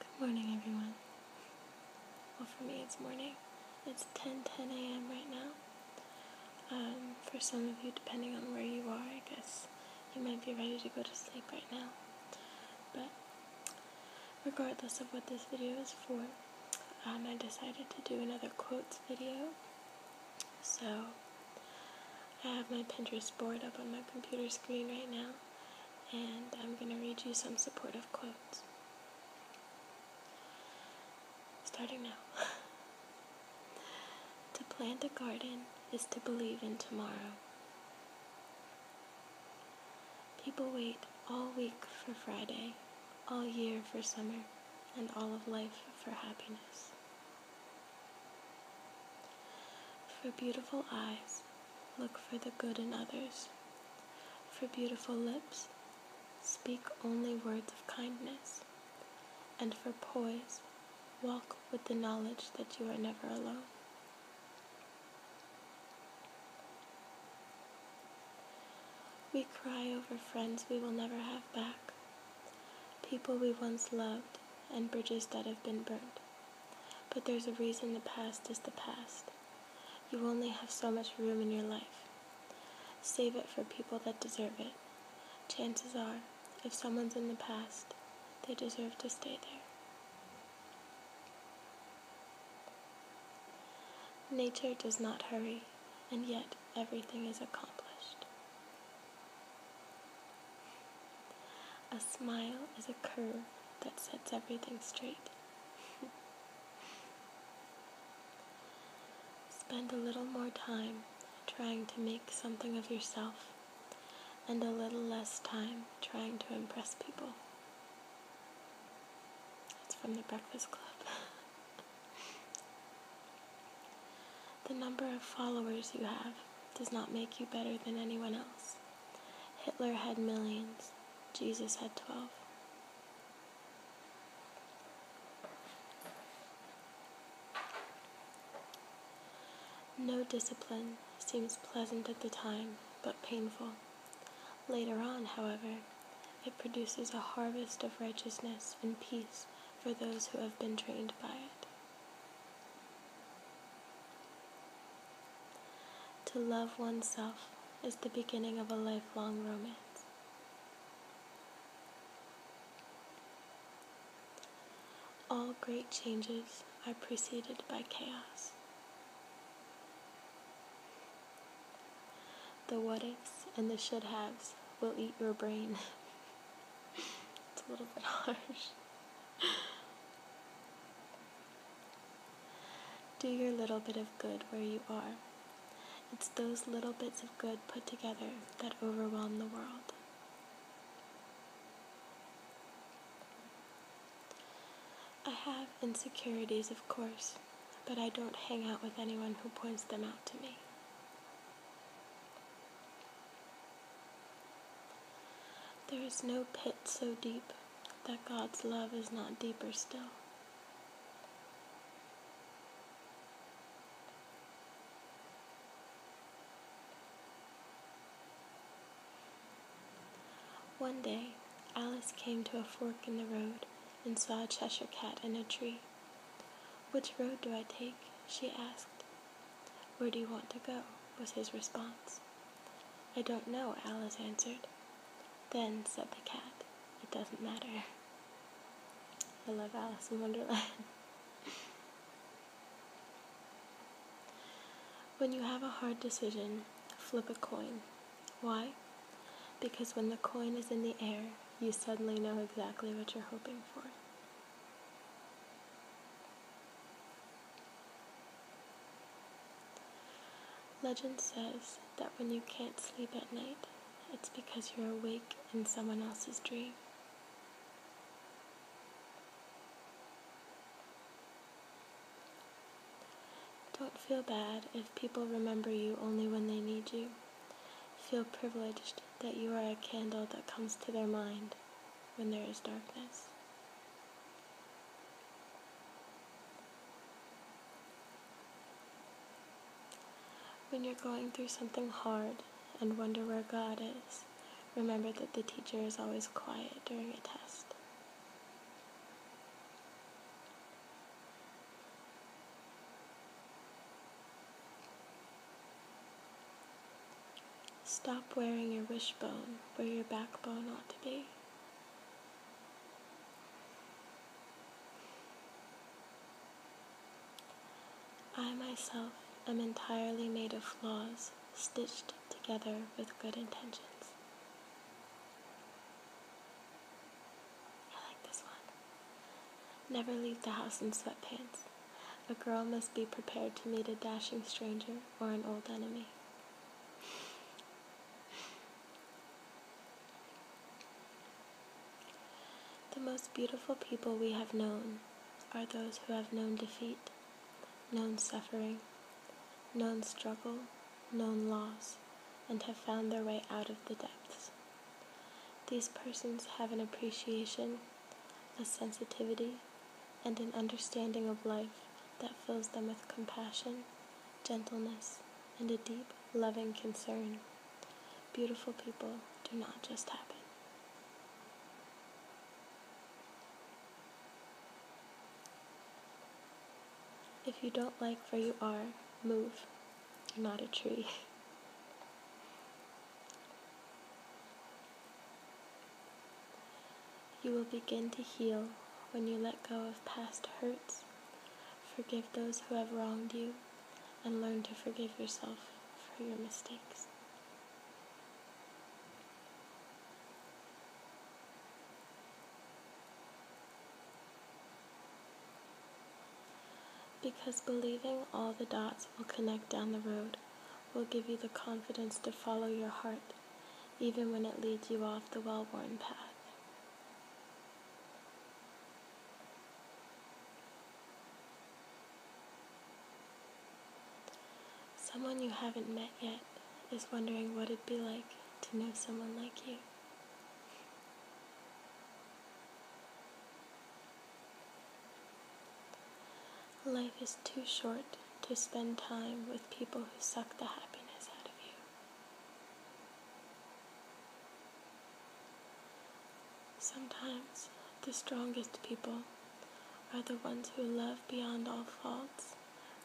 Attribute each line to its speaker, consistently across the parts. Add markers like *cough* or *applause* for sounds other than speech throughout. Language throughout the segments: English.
Speaker 1: Good morning, everyone. Well, for me, it's morning. It's 10 10 a.m. right now. Um, for some of you, depending on where you are, I guess you might be ready to go to sleep right now. But regardless of what this video is for, um, I decided to do another quotes video. So I have my Pinterest board up on my computer screen right now, and I'm going to read you some supportive quotes. Starting now. *laughs* to plant a garden is to believe in tomorrow. People wait all week for Friday, all year for summer, and all of life for happiness. For beautiful eyes, look for the good in others. For beautiful lips, speak only words of kindness. And for poise, walk with the knowledge that you are never alone. We cry over friends we will never have back, people we once loved, and bridges that have been burned. But there's a reason the past is the past. You only have so much room in your life. Save it for people that deserve it. Chances are, if someone's in the past, they deserve to stay there. Nature does not hurry, and yet everything is accomplished. A smile is a curve that sets everything straight. *laughs* Spend a little more time trying to make something of yourself and a little less time trying to impress people. That's from the Breakfast Club. *laughs* The number of followers you have does not make you better than anyone else. Hitler had millions, Jesus had 12. No discipline seems pleasant at the time, but painful. Later on, however, it produces a harvest of righteousness and peace for those who have been trained by it. To love oneself is the beginning of a lifelong romance. All great changes are preceded by chaos. The what ifs and the should haves will eat your brain. *laughs* it's a little bit *laughs* harsh. Do your little bit of good where you are. It's those little bits of good put together that overwhelm the world. I have insecurities, of course, but I don't hang out with anyone who points them out to me. There is no pit so deep that God's love is not deeper still. One day, Alice came to a fork in the road and saw a Cheshire cat in a tree. Which road do I take? she asked. Where do you want to go? was his response. I don't know, Alice answered. Then, said the cat, it doesn't matter. I love Alice in Wonderland. *laughs* when you have a hard decision, flip a coin. Why? Because when the coin is in the air, you suddenly know exactly what you're hoping for. Legend says that when you can't sleep at night, it's because you're awake in someone else's dream. Don't feel bad if people remember you only when they need you. Feel privileged that you are a candle that comes to their mind when there is darkness. When you're going through something hard and wonder where God is, remember that the teacher is always quiet during a test. Stop wearing your wishbone where your backbone ought to be. I myself am entirely made of flaws stitched together with good intentions. I like this one. Never leave the house in sweatpants. A girl must be prepared to meet a dashing stranger or an old enemy. The most beautiful people we have known are those who have known defeat, known suffering, known struggle, known loss, and have found their way out of the depths. These persons have an appreciation, a sensitivity, and an understanding of life that fills them with compassion, gentleness, and a deep, loving concern. Beautiful people do not just happen. If you don't like where you are, move. You're not a tree. *laughs* You will begin to heal when you let go of past hurts, forgive those who have wronged you, and learn to forgive yourself for your mistakes. Because believing all the dots will connect down the road will give you the confidence to follow your heart, even when it leads you off the well worn path. Someone you haven't met yet is wondering what it'd be like to know someone like you. Life is too short to spend time with people who suck the happiness out of you. Sometimes the strongest people are the ones who love beyond all faults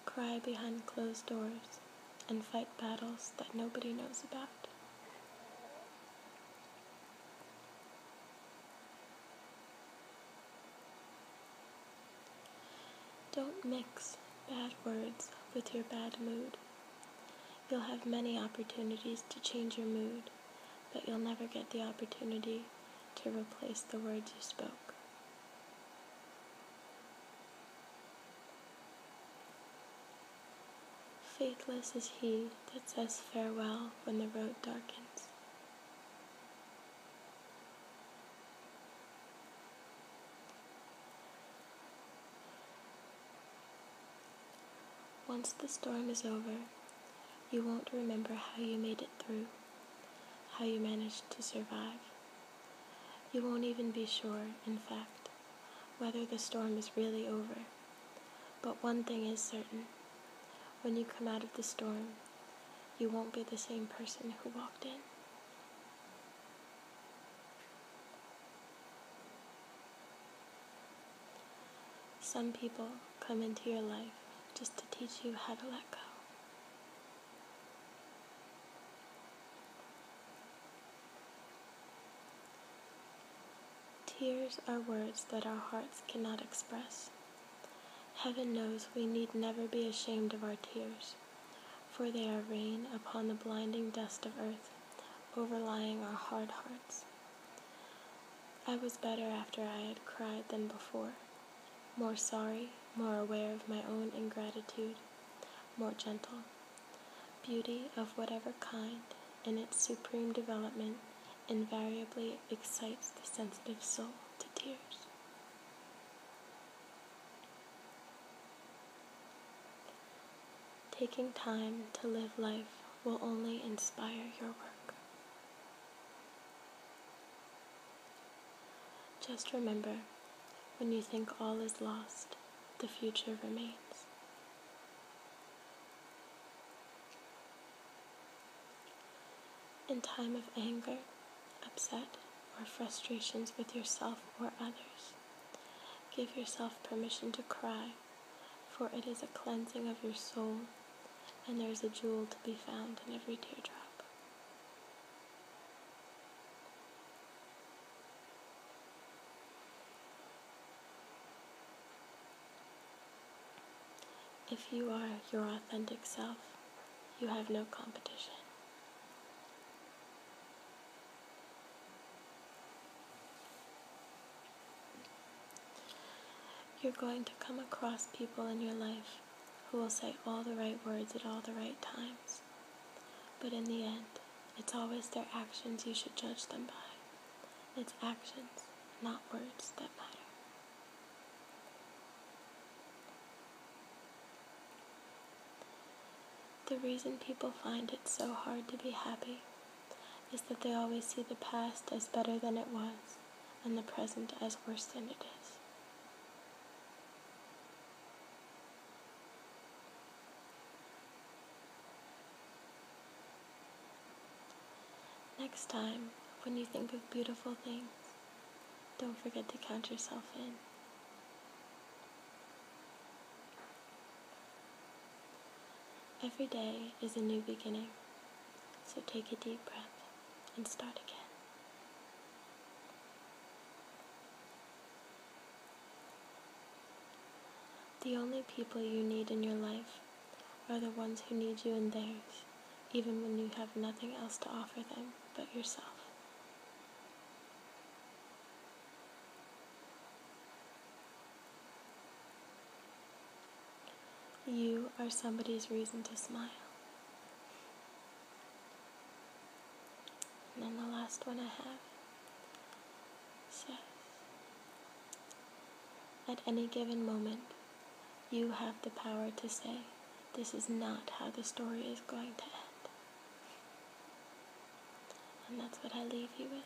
Speaker 1: cry behind closed doors, and fight battles that nobody knows about. Don't mix bad words with your bad mood. You'll have many opportunities to change your mood, but you'll never get the opportunity to replace the words you spoke. Faithless is he that says farewell when the road darkens. Once the storm is over, you won't remember how you made it through how you managed to survive. You won't even be sure, in fact, whether the storm is really over. But one thing is certain. When you come out of the storm, you won't be the same person who walked in. Some people come into your life just to teach you how to let go. Tears are words that our hearts cannot express. Heaven knows we need never be ashamed of our tears, for they are rain upon the blinding dust of earth, overlying our hard hearts. I was better after I had cried than before more sorry, more aware of my own ingratitude, more gentle. Beauty of whatever kind, in its supreme development, invariably excites the sensitive soul to tears. Taking time to live life will only inspire your work. Just remember, when you think all is lost, the future remains. In time of anger, upset, or frustrations with yourself or others, give yourself permission to cry, for it is a cleansing of your soul, and there is a jewel to be found in every teardrop. If you are your authentic self, you have no competition. You're going to come across people in your life who will say all the right words at all the right times. But in the end, it's always their actions you should judge them by. It's actions, not words, that matter. The reason people find it so hard to be happy is that they always see the past as better than it was and the present as worse than it is. Next time, when you think of beautiful things, don't forget to count yourself in. Every day is a new beginning. So take a deep breath and start again. The only people you need in your life are the ones who need you in theirs, even when you have nothing else to offer them but yourself. You are somebody's reason to smile. And then the last one I have says, At any given moment, you have the power to say, This is not how the story is going to end. And that's what I leave you with.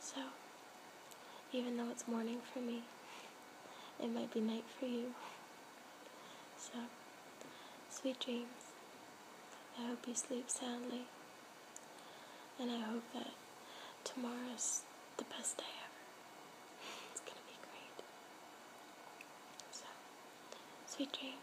Speaker 1: So, even though it's morning for me, it might be night for you. So, sweet dreams. I hope you sleep soundly. And I hope that tomorrow's the best day ever. It's gonna be great. So, sweet dreams.